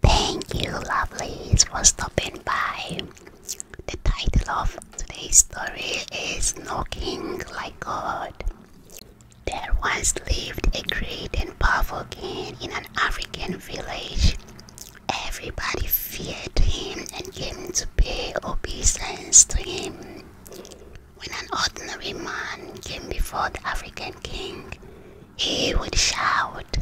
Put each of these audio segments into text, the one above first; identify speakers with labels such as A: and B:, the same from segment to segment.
A: Thank you, lovelies, for stopping by. The title of today's story is Knocking Like God. There once lived a great and powerful king in an African village. Everybody feared him and came to pay obeisance to him. When an ordinary man came before the African king, he would shout,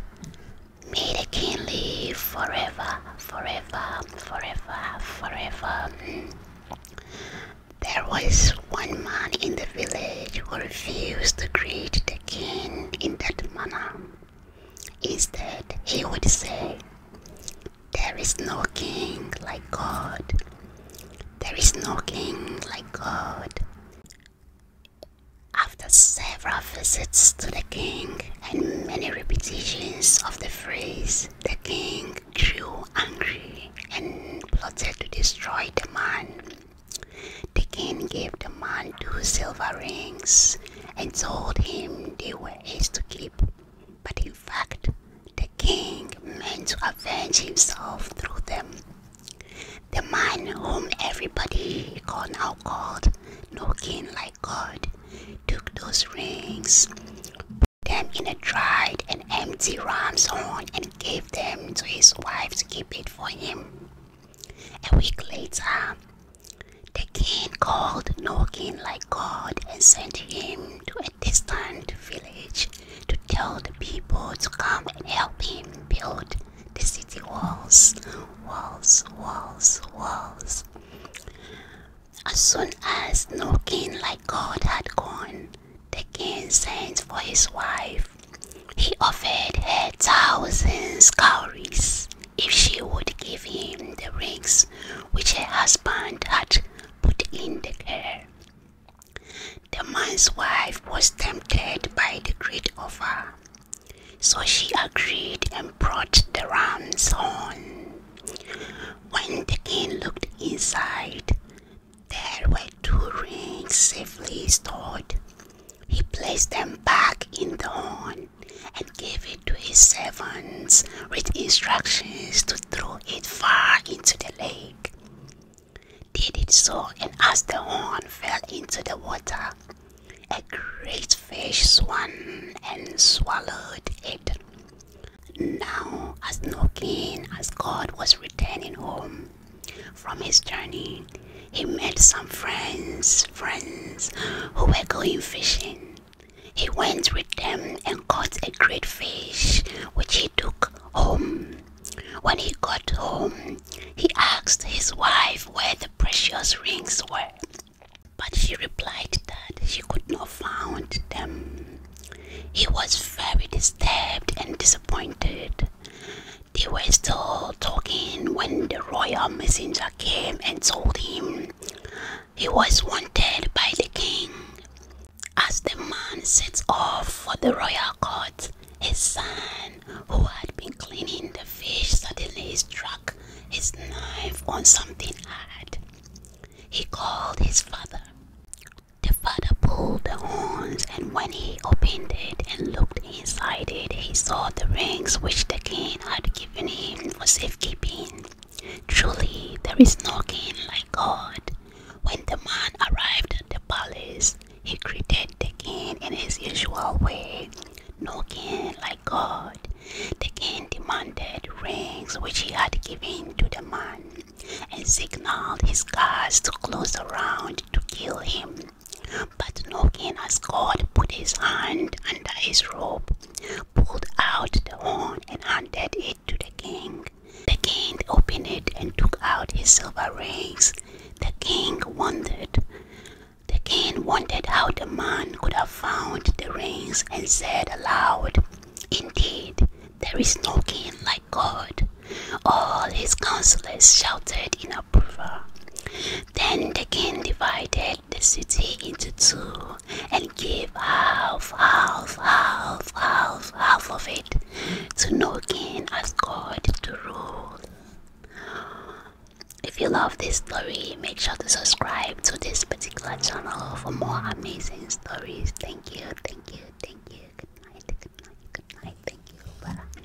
A: May the king live forever, forever, forever, forever. There was one man in the village who refused to greet the king in that manner. Instead, he would say, There is no king like God. There is no king like God. After several visits to the king and many repetitions of the phrase, the king grew angry and plotted to destroy the man. The king gave the man two silver rings and told him they were his to keep, but in fact, the king meant to avenge himself through them. The man whom everybody now called no king like God took those rings, put them in a dried and empty ram's horn, and gave them to his wife to keep it for him. A week later, the king called no king like God and sent him to this time to village to tell the people to come and help him build the city walls, walls, walls, walls. As soon as no king like God had gone, the king sent for his wife. He offered her thousands cowries if she would give him the rings which her husband had put in the hair. The man's wife was tempted by the great offer, so she agreed and brought the ram's horn. When the king looked inside, there were two rings safely stored. He placed them back in the horn and gave it to his servants with instructions to throw it far into the lake. Did it so, and as the horn fell into the water, a great fish swam and swallowed it. Now, as no as God was returning home from his journey, he met some friends, friends who were going fishing. He went with them and caught a great fish, which he took home. When he got home, he asked his wife where the precious rings were, but she replied that she could not find them. He was very disturbed and disappointed. They were still talking when the royal messenger came and told him he was wanted by the king. As the man sets off for the royal court, his son, who had been cleaning the fish, suddenly struck his knife on something hard. He called his father. The father pulled the horns, and when he opened it and looked inside it, he saw the rings which the king had given given him for safekeeping. Truly, there is no king like God. When the man arrived at the palace, he greeted the king in his usual way. No king like God. The king demanded rings which he had given to the man, and signaled his guards to close around to kill him. But as God put his hand under his robe, pulled out the horn, and handed it to the king. The king opened it and took out his silver rings. The king wondered. The king wondered how the man could have found the rings and said aloud, Indeed, there is no king like God. All his counselors shouted in approval. Then the king divided the city into two and gave half, half, half, half, half of it to no king as God to rule. If you love this story, make sure to subscribe to this particular channel for more amazing stories. Thank you, thank you, thank you. Good night, good night, good night. Thank you. Bye.